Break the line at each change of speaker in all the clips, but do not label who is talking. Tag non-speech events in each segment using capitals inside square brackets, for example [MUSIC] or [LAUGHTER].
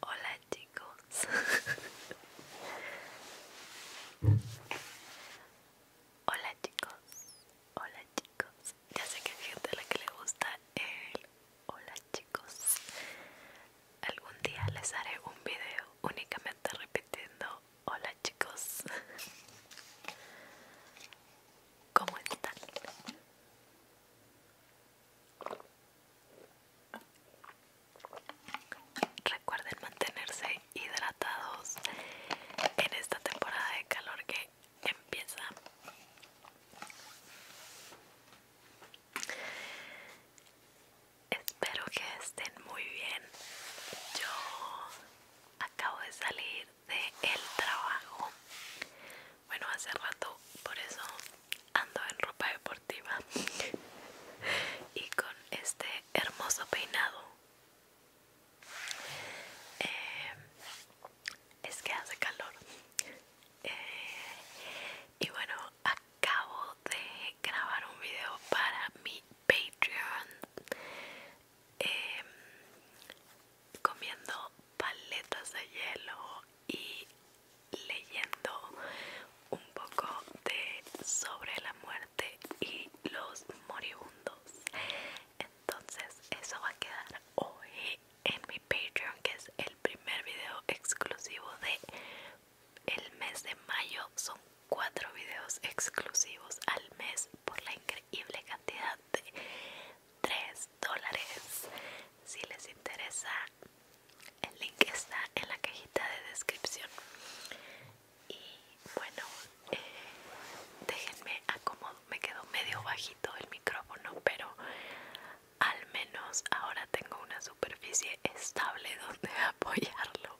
Hola chicos. [LAUGHS] Hola chicos hola chicos. Ya sé que hay gente a la que le gusta el hola chicos. Algún día les haré un video únicamente repitiendo hola chicos. [LAUGHS] ¿Cómo están? Recuerden mantenerse hidratados en esta temporada de calor que empieza. Espero que estén muy bien. Yo acabo de salir del trabajo. Bueno, hace rato, por eso ando en ropa deportiva [LAUGHS] y con este hermoso peinado eh, es que hace calor eh, y bueno acabo de grabar un video para mi patreon eh, comiendo paletas de hielo y leyendo un poco de sobre la muerte y los moribundos entonces eso va a quedar hoy en mi Patreon, que es el primer video exclusivo de el mes de mayo. Son cuatro videos exclusivos al mes por la increíble cantidad de 3 dólares. Si les interesa, el link está en la cajita de descripción. Y bueno, eh, déjenme acomodar me quedó medio bajito el micrófono, pero al menos ahora tengo una superficie estable [LAUGHS] donde apoyarlo.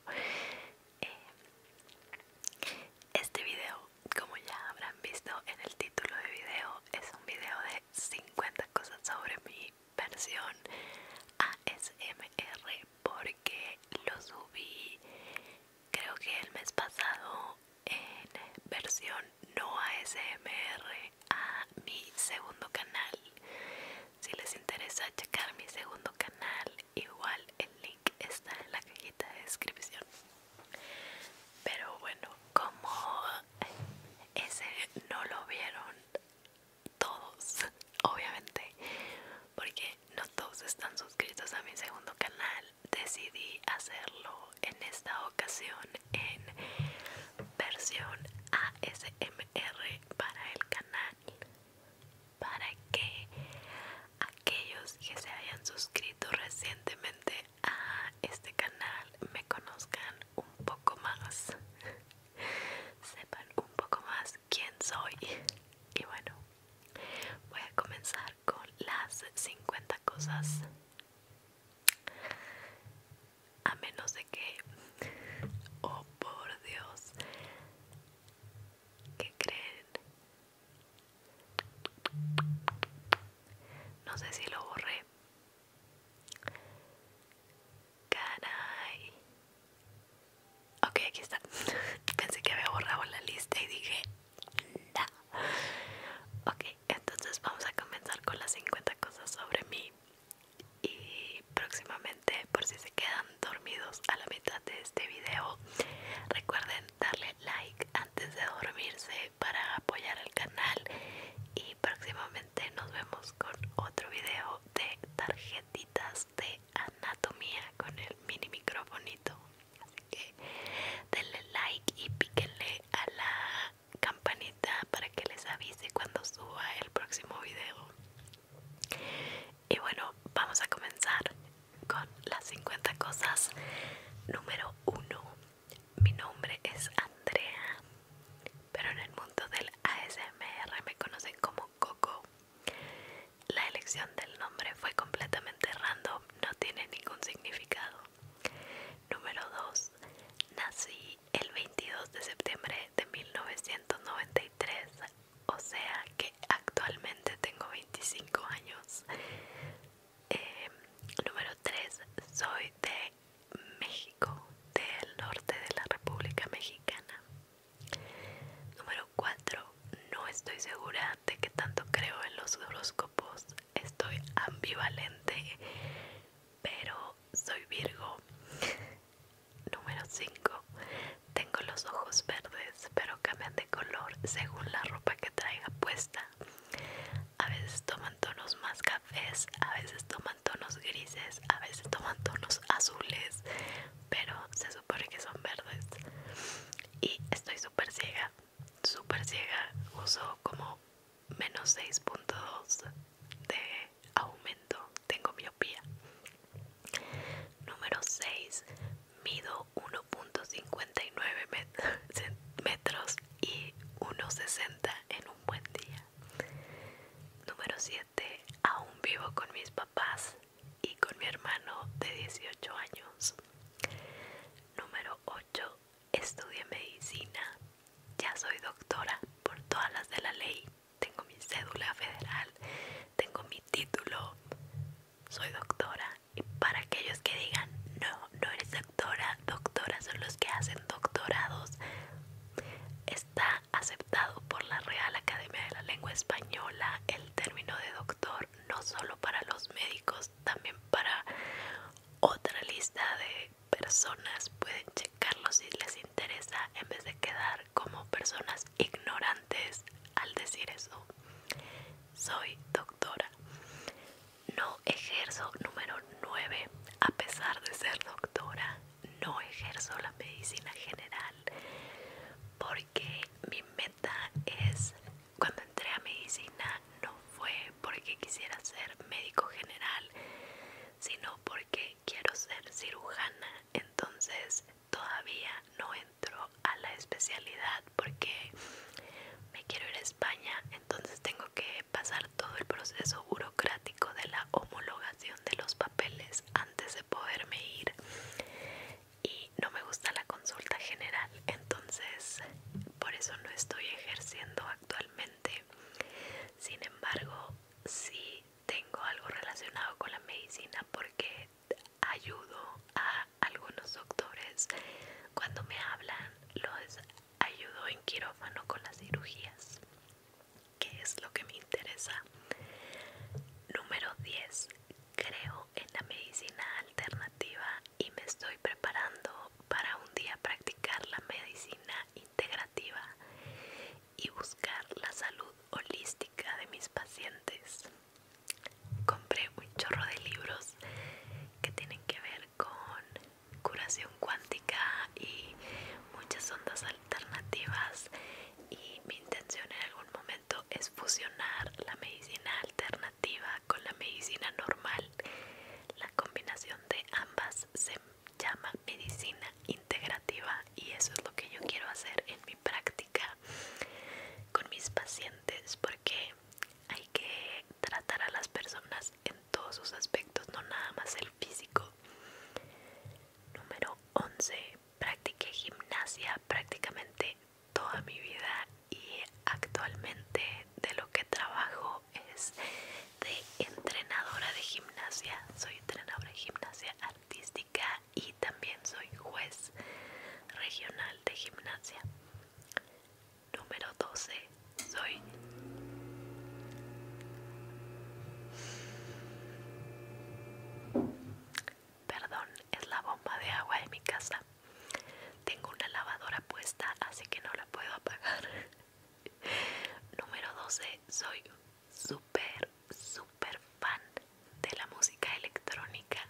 Eh, este video, como ya habrán visto en el título de video, es un video de 50 cosas sobre mi versión ASMR porque lo subí creo que el mes pasado en versión no SMR a mi segundo canal. Si les interesa checar mi segundo canal, igual el link está en la cajita de descripción. Pero bueno, como ese no lo vieron todos, obviamente, porque no todos están suscritos a mi segundo canal, decidí hacerlo en esta ocasión en versión ASMR para el canal para que aquellos que se hayan suscrito recientemente a este canal me conozcan un poco más sepan un poco más quién soy y bueno voy a comenzar con las 50 cosas a menos de que... Oh, por Dios. ¿Qué creen? No sé si lo borré. Caray. Ok, aquí está. [LAUGHS] Pensé que había borrado la lista y dije... No. [LAUGHS] ok, entonces vamos a comenzar con las 50 cosas sobre mí. Y próximamente, por si se quedan dormidos a la mitad de este video, recuerden darle like antes de dormirse para apoyar al canal. Y próximamente nos vemos con otro video de tarjetitas de anatomía con el mini microfonito que denle like y píquenle a la campanita para que les avise cuando suba el próximo video y bueno vamos a comenzar con las 50 cosas número 1 mi nombre es Andrea pero en el mundo del ASMR me conocen como Coco la elección del nombre fue completamente random no tiene ningún significado Número 2. Nací el 22 de septiembre de 1993, o sea que actualmente tengo 25 años. Eh, número 3. Soy de México, del norte de la República Mexicana. Número 4. No estoy segura de que tanto creo en los horóscopos, estoy ambivalente, pero soy Virgo. Número 5. Tengo los ojos verdes, pero cambian de color según la ropa que traiga puesta. A veces toman tonos más cafés, a veces toman tonos grises, a veces toman tonos azules, pero se supone que son verdes. Y estoy súper ciega, súper ciega. Uso como menos 6.2 de aumento, tengo miopía. Número 6, mido 1.59 [LAUGHS] metros y 1.60 en un buen día. Número 7, aún vivo con mis papás y con mi hermano de 18 años. Número 8, Estudié medicina, ya soy doctora por todas las de la ley, tengo mi cédula federal, tengo mi título, soy doctora. Y para aquellos que digan, no, no eres doctora, doctora son los que hacen doctorados, está aceptado por la Real Academia de la Lengua Española el término de doctor no solo para los médicos, también para otra lista de personas pueden checarlo si les interesa en vez de quedar como personas ignorantes al decir eso soy doctora no ejerzo número 9 a pesar de ser doctora no ejerzo la medicina general porque mi meta es cuando entré a medicina no fue porque quisiera ser médico general, sino porque quiero ser cirujana. Entonces todavía no entro a la especialidad porque me quiero ir a España. Entonces tengo que pasar todo el proceso burocrático de la homologación de los papeles antes de poderme ir. Y no me gusta la consulta general, entonces por eso no estoy ejerciendo actualmente. Sin embargo, sí tengo algo relacionado con la medicina porque ayudo a algunos doctores cuando me hablan, los ayudo en quirófano con las cirugías, que es lo que me interesa. Número 10. Creo en la medicina alternativa y me estoy preparando para un día practicar la medicina integrativa y buscar la salud holística de mis pacientes. Compré un chorro de libros que tienen que ver con curación cuántica y muchas ondas alternativas y mi intención en algún momento es fusionar la medicina alternativa con la medicina normal. La combinación de ambas se llama medicina integrativa y eso es lo que yo quiero hacer en mi práctica con mis pacientes porque hay que tratar a las personas en todos sus aspectos, no nada más el físico. Número 11. Practiqué gimnasia prácticamente toda mi vida y actualmente de lo que trabajo es de entrenadora de gimnasia. Soy entrenadora de gimnasia artística y también soy juez regional de gimnasia. Número 12. Soy Perdón, es la bomba de agua de mi casa. Tengo una lavadora puesta, así que no la puedo apagar. [LAUGHS] Número 12. Soy súper, súper fan de la música electrónica.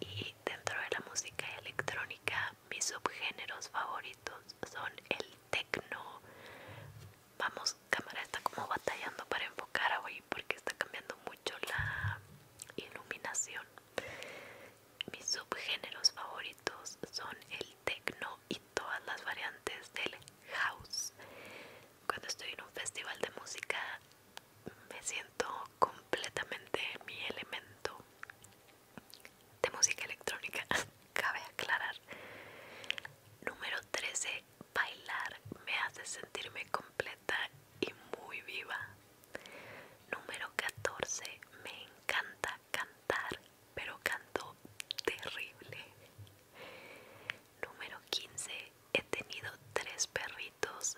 Y dentro de la música electrónica, mis subgéneros favoritos son el tecno. Vamos, cámara está como batallando para enfocar a hoy porque está cambiando mucho la iluminación. Mis subgéneros favoritos son el techno y todas las variantes del house. Cuando estoy en un festival de música me siento completamente mi elemento de música electrónica. [LAUGHS] Cabe aclarar. Número 13. Bailar me hace sentirme completa y muy viva. Número 14. Me encanta cantar, pero canto terrible. Número 15. He tenido tres perritos.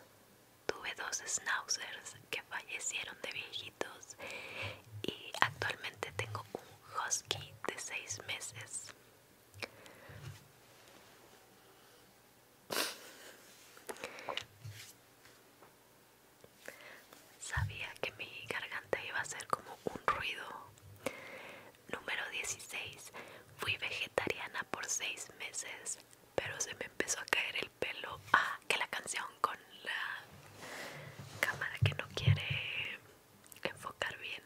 Tuve dos schnauzers que fallecieron de viejitos y actualmente tengo un husky de seis meses. Sabía que mi garganta iba a hacer como un ruido. Número 16. Fui vegetariana por 6 meses, pero se me empezó a caer el pelo. Ah, que la canción con la cámara que no quiere enfocar bien.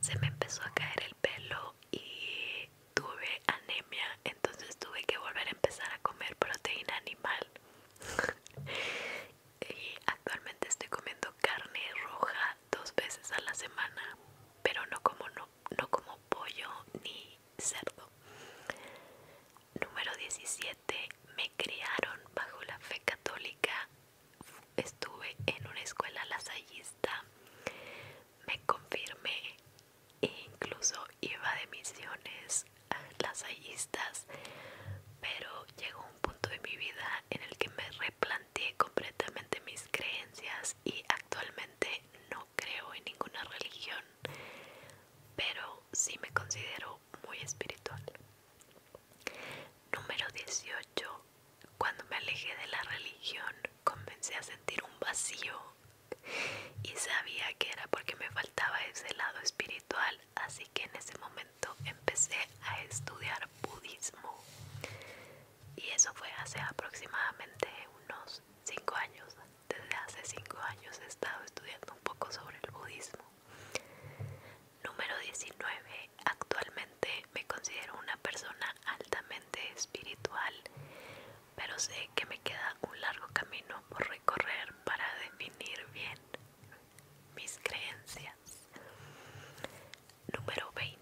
Se me empezó a caer el pelo y tuve anemia, entonces tuve que volver a empezar a comer proteína animal y [LAUGHS] actualmente estoy comiendo carne roja dos veces a la semana, pero no como no, como pollo ni cerdo. Número 17. Me criaron bajo la fe católica. Estuve en una escuela lasallista. Me confirmé e incluso iba de misiones [LAUGHS] las lasallistas, pero llegó un punto de mi vida en el que me replanteé completamente mis creencias y actualmente no creo en ninguna religión, pero sí me considero muy espiritual. Número 18. Cuando me alejé de la religión, comencé a sentir un vacío y sabía que era porque me faltaba ese lado espiritual así que en ese momento empecé a estudiar budismo y eso fue hace aproximadamente unos 5 años. Desde hace 5 años he estado estudiando un poco sobre el budismo. Número 19. Actualmente me considero una persona altamente espiritual, pero sé que me queda un largo camino por recorrer para definir bien mis creencias. Número 20.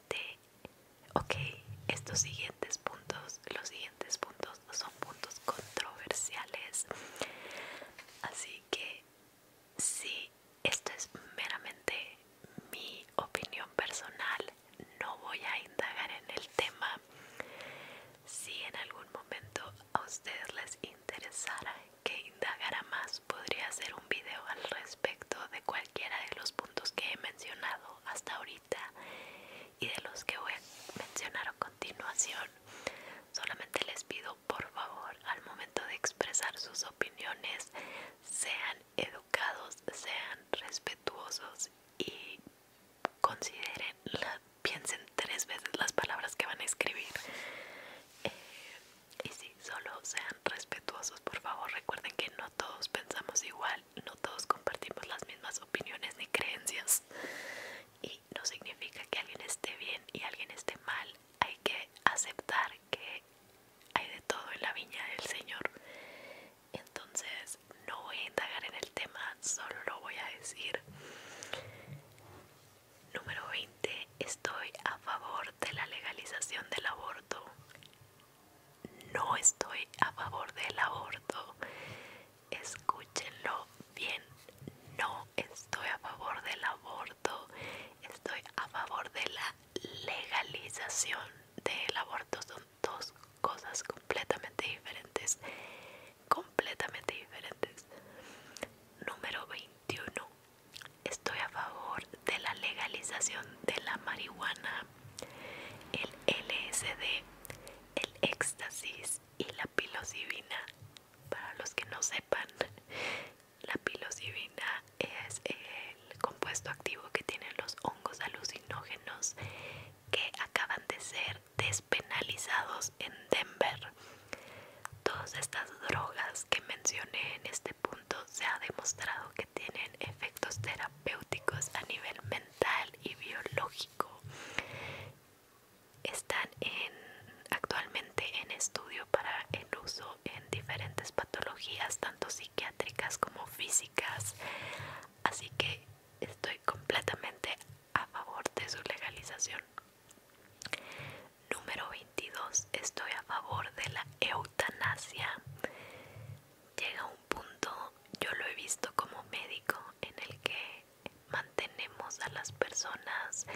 Ok, estos siguientes puntos, los siguientes puntos son puntos controversiales. Así que si esto es meramente mi opinión personal. No voy a indagar en el tema. Si en algún momento a ustedes les interesara que indagara más, podría hacer un video al respecto de cualquiera de los puntos que he mencionado hasta ahorita y de los que voy a mencionar a continuación. Solamente les pido por favor al momento de expresar sus opiniones sean educados, sean respetuosos y consideren, piensen tres veces las palabras que van a escribir. Eh, y si, solo sean respetuosos, por favor. Recuerden que no todos pensamos igual, no todos compartimos las mismas opiniones ni creencias. Y no significa que alguien esté bien y alguien esté mal. Hay que aceptar que hay de todo en la viña del Señor. Entonces, no voy a indagar en el tema, solo lo voy a decir. Número 20. Estoy a favor de la legalización del aborto. No estoy a favor del aborto. Escúchenlo bien. No estoy a favor del aborto. Estoy a favor de la legalización del aborto. Son dos cosas completamente diferentes completamente diferentes. Número 21. Estoy a favor de la legalización de la marihuana, el LSD, el éxtasis y la psilocibina. Para los que no sepan, la psilocibina es el compuesto activo que tienen los hongos alucinógenos que acaban de ser despenalizados en Denver. Todas estas drogas que mencioné en este punto se ha demostrado que tienen efectos terapéuticos a nivel mental y biológico. Están actualmente en estudio para el uso en diferentes patologías, tanto psiquiátricas como físicas. Así que estoy completamente a favor de su legalización. Número 22. Estoy a favor de la eutanasia. Llega un punto, yo lo he visto como médico, en el que mantenemos a las personas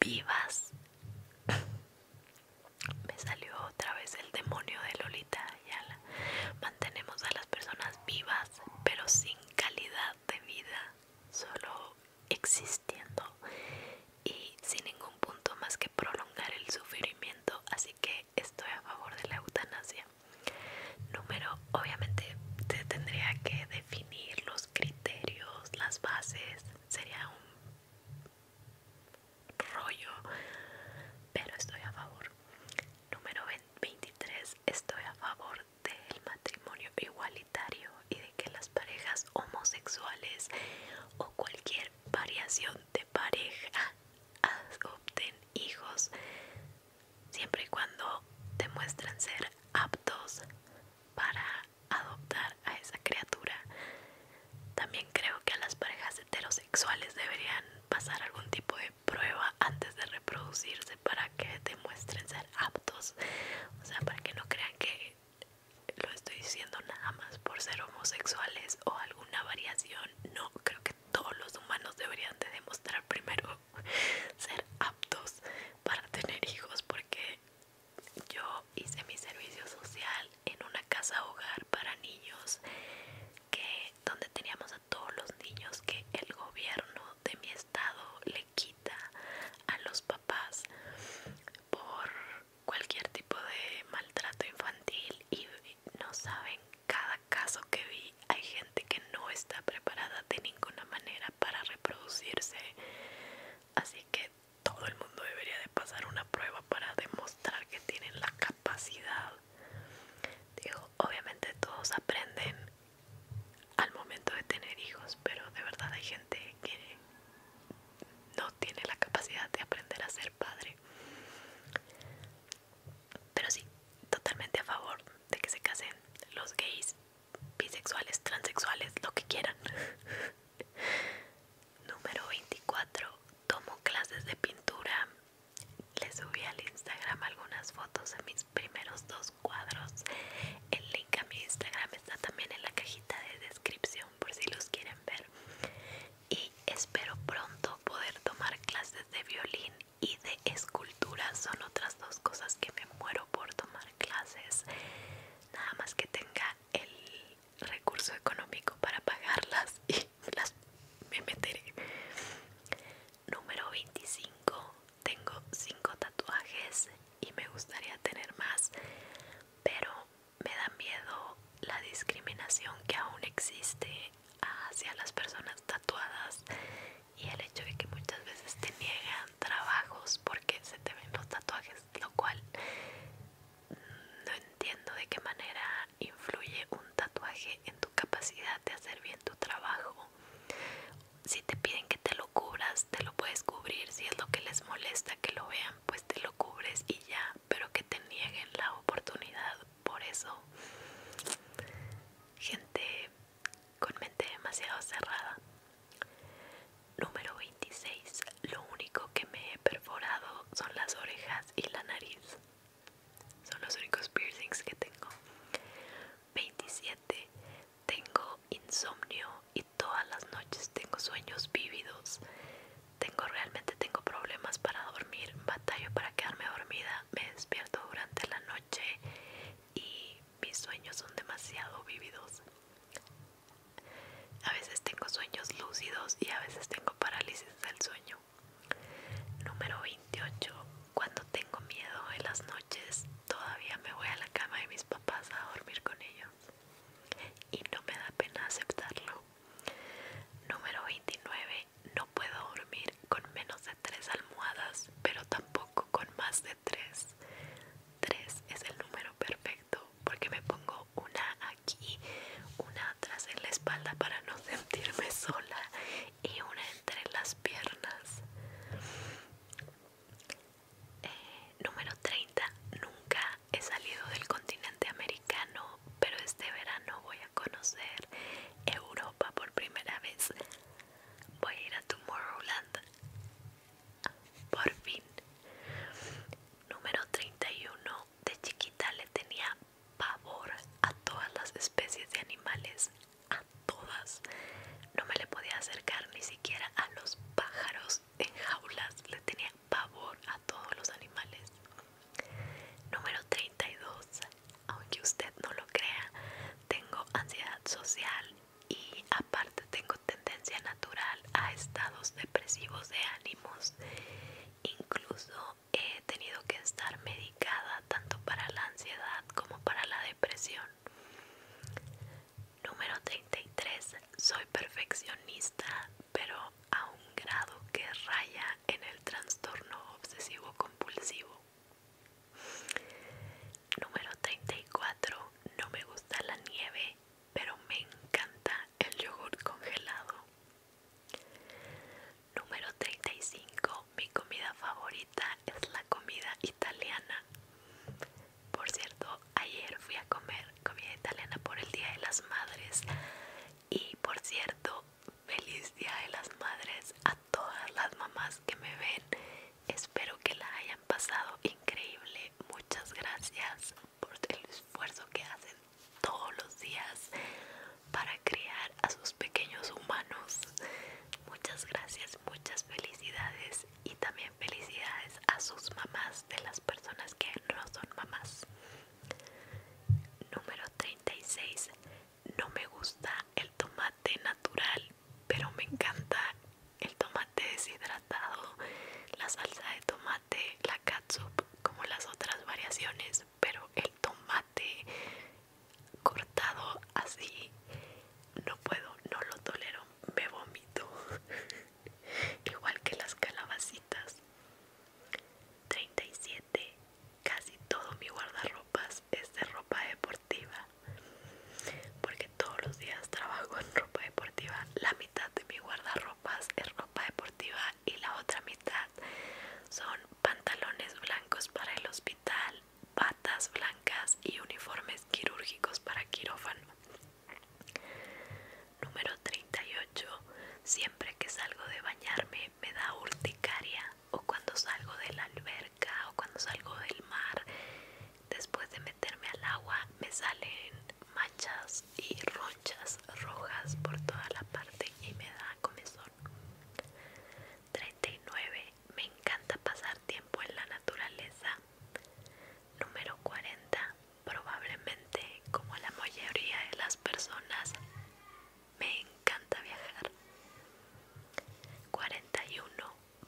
vivas. [LAUGHS] Me salió otra vez el demonio de Lolita Mantenemos a las personas vivas, pero sin calidad de vida solo existiendo y sin ningún punto más que prolongar el sufrimiento así que estoy a favor de la eutanasia número obviamente se tendría que definir los criterios las bases sería un rollo pero estoy a favor Número 23. Estoy a favor del matrimonio igualitario y de que las parejas homosexuales o cualquier variación de pareja [LAUGHS] adopten hijos siempre y cuando demuestren ser aptos para adoptar a esa criatura. También creo que a las parejas heterosexuales deberían pasar algún tipo de prueba antes de reproducirse para que demuestren ser aptos, o sea, para que no crean que lo estoy diciendo nada más por ser homosexuales o alguna variación. No, creo que todos los humanos deberían de demostrar primero [LAUGHS] ser aptos para tener hijos porque yo hice mi servicio social en una casa hogar para niños que donde teníamos todos los niños que el gobierno de mi estado le quita a los papás por cualquier tipo de maltrato infantil y no saben cada caso que vi hay gente que no está preparada de ninguna manera para reproducirse así que todo el mundo debería de pasar una prueba para demostrar que tienen la capacidad digo obviamente todos aprenden al momento de tener hijos, pero de verdad hay gente que no tiene la capacidad de aprender a ser padre. Pero sí, totalmente a favor de que se casen los gays, bisexuales, transexuales, lo que quieran. [LAUGHS] Número 24. Tomo clases de pintura le subí al Instagram algunas fotos de mis primeros dos cuadros. El link a mi Instagram está también en la cajita de descripción por si los quieren ver. Y espero pronto poder tomar clases de violín y de escultura. Son otras dos cosas que me muero por tomar clases. Nada más que tenga el recurso económico para pagarlas y [LAUGHS] las me meteré. Número 25 tengo cinco tatuajes y me gustaría tener más, pero me da miedo la discriminación que aún existe hacia las personas tatuadas y el hecho de que muchas veces te niegan trabajos porque se te ven los tatuajes, lo cual no entiendo de qué manera influye un tatuaje en tu capacidad de hacer bien tu trabajo si te piden que te lo cubras, te lo puedes cubrir. Si es lo que les molesta que lo vean, pues te lo cubres y ya. Pero que te nieguen la oportunidad. Por eso, gente con mente demasiado cerrada. Número 26. Lo único que me he perforado son las orejas y la nariz. Son los únicos piercings que tengo. 27. Tengo insomnio y todas las noches tengo sueños vívidos. Tengo realmente tengo problemas para dormir, batallo para quedarme dormida, me despierto durante la noche y mis sueños son demasiado vívidos. A veces tengo sueños lúcidos y a veces tengo parálisis del sueño. Número 28, cuando tengo miedo en las noches, todavía me voy a la cama de mis papás a dormir con ellos. Y no me da pena aceptarlo. Número 29. No puedo dormir con menos de 3 almohadas, pero tampoco con más de 3. 3 es el número perfecto porque me pongo una aquí, una atrás en la espalda para no [LAUGHS] sentirme sola y una entre las piernas. Eh, número 30. Nunca he salido del continente americano, pero este verano voy a conocer Europa por primera vez. Voy a ir a Tomorrowland. Por fin. Número 31. De chiquita le tenía pavor a todas las especies de animales a todas. No me le podía acercar ni siquiera a los pájaros en jaulas. Le tenía pavor a todos los animales. Número 32. Aunque usted no lo crea, tengo ansiedad social y aparte tengo tendencia natural a estados depresivos de ánimos. Incluso he tenido que estar medio tanto para la ansiedad como para la depresión. Número 33. Soy perfeccionista, pero a un grado que raya en el trastorno obsesivo compulsivo. Número 34. No me gusta la nieve, pero me encanta el yogur congelado. Número 35 mi comida favorita es la comida italiana. Por cierto, ayer fui a comer comida italiana por el Día de las Madres. Y por cierto, feliz Día de las Madres a todas las mamás que me ven. Espero que la hayan pasado increíble. Muchas gracias por el esfuerzo que hacen todos los días para criar a sus pequeños humanos. Muchas gracias, muchas felicidades y también felicidades a sus mamás de las personas que no son mamás. Número 36. No me gusta el tomate natural, pero me encanta el tomate deshidratado, la salsa de tomate, la catsup, como las otras variaciones, pero el tomate cortado así no puedo, no lo tolero, me vomito. [LAUGHS] Igual que las calabacitas. 37. Casi todo mi guardarropas es de ropa deportiva. Porque todos los días trabajo en ropa deportiva. La mitad de mi guardarropas es ropa deportiva y la otra mitad son pantalones blancos para el hospital, Patas blancas y uniformes quirúrgicos para quirófano. Número 38. Siempre que salgo de bañarme me da urticaria o cuando salgo de la alberca o cuando salgo del mar. Después de meterme al agua me salen manchas y ronchas rojas por toda la parte y me da comezón. 39. Me encanta pasar tiempo en la naturaleza. Número 40. Probablemente, como la mayoría de las personas, me encanta viajar. 41.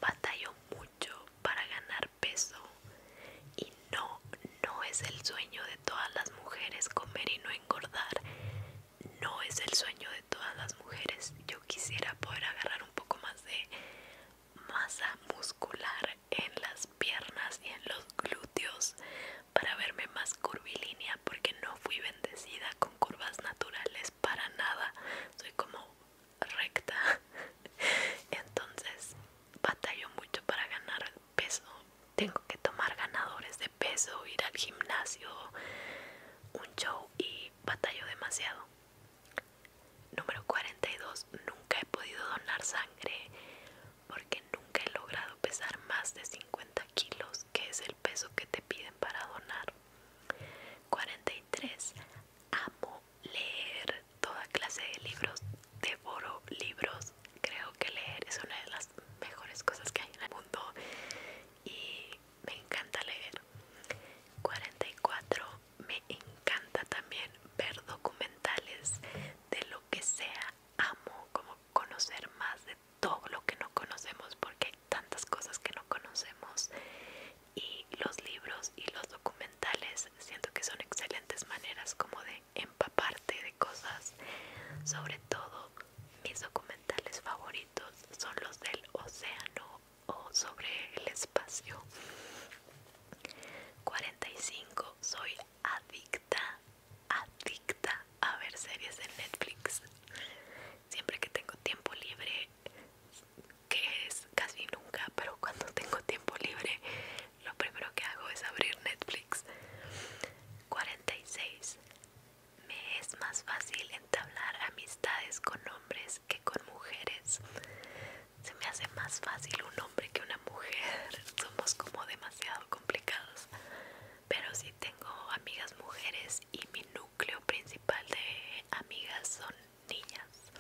Batallo mucho para ganar peso y no, no es el sueño de todas las mujeres comer y no engordar. No es el sueño de todas las mujeres yo quisiera poder agarrar un poco más de masa muscular en las piernas y en los glúteos para verme más curvilínea porque no fui bendecida con curvas naturales para nada soy como recta [LAUGHS] entonces batallo mucho para ganar peso tengo que tomar ganadores de peso ir al gimnasio un show y batalló batallo demasiado. Número 42. Nunca he podido donar sangre porque nunca he logrado pesar más de 50 kilos, que es el peso que te piden para donar. 43. Amo leer toda clase de libros. Devoro libros. Creo que leer es una de las mejores cosas que hay en el mundo. Y me encanta leer. 44. Me encanta también ver documentales de lo que sea. Amo como conocer más de todo lo que no conocemos porque hay tantas cosas que no conocemos. Y los libros y los documentales siento que son excelentes maneras como de empaparte de cosas. Sobre todo mis documentales favoritos son los del océano o sobre el espacio. 45. Soy adicta, adicta a ver series en Netflix. Siempre que tengo tiempo libre, que es casi nunca, pero cuando tengo tiempo libre, lo primero que hago es abrir Netflix. 46. Me es más fácil entablar amistades con hombres que con mujeres. Se me hace más fácil un hombre que una mujer. [LAUGHS] Somos como demasiado complicados. Pero sí tengo amigas mujeres y mi núcleo principal de amigas son niñas.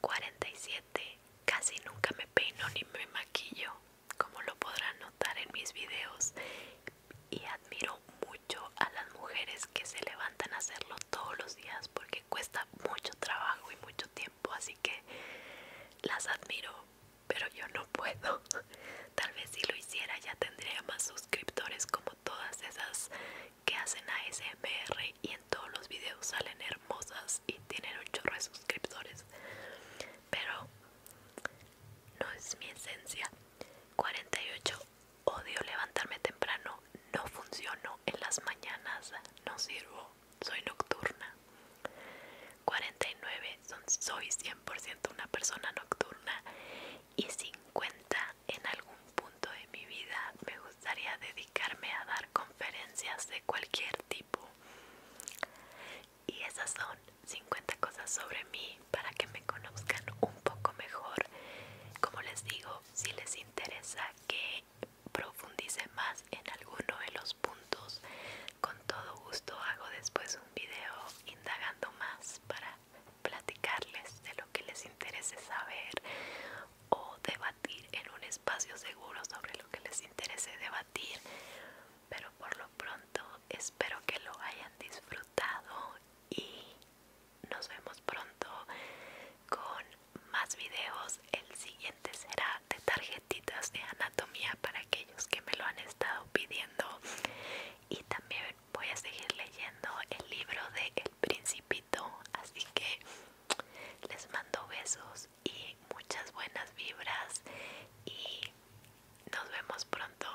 47. Casi nunca me peino ni me maquillo, como lo podrán notar en mis videos. Y admiro mucho a las mujeres que se levantan a hacerlo todos los días porque cuesta mucho trabajo y mucho tiempo, así que las admiro, pero yo no puedo. [LAUGHS] Tal vez si lo hiciera ya tendría más suscriptores como todas esas que hacen ASMR y en todos los videos salen hermosas y tienen un chorro de suscriptores. Pero no es mi esencia. 48 Odio levantarme temprano, no funciono en las mañanas, no sirvo, soy nocturna. 49. soy 100% una persona nocturna. Y 50. En algún punto de mi vida me gustaría dedicarme a dar conferencias de cualquier tipo. Y esas son 50 cosas sobre mí para que me conozcan un poco mejor. Como les digo, si les interesa que profundice más en alguno de los puntos, con todo gusto hago después un video indagando más para platicarles de lo que les interese saber o debatir en un espacio seguro sobre lo que les interese debatir. Pero por lo pronto espero que lo hayan disfrutado y nos vemos pronto con más videos. El siguiente será de tarjetitas de anatomía para aquellos que me lo han estado pidiendo. Y también voy a seguir leyendo el libro de El Principito. Así que les mando besos y muchas buenas vibras. Y nos vemos pronto.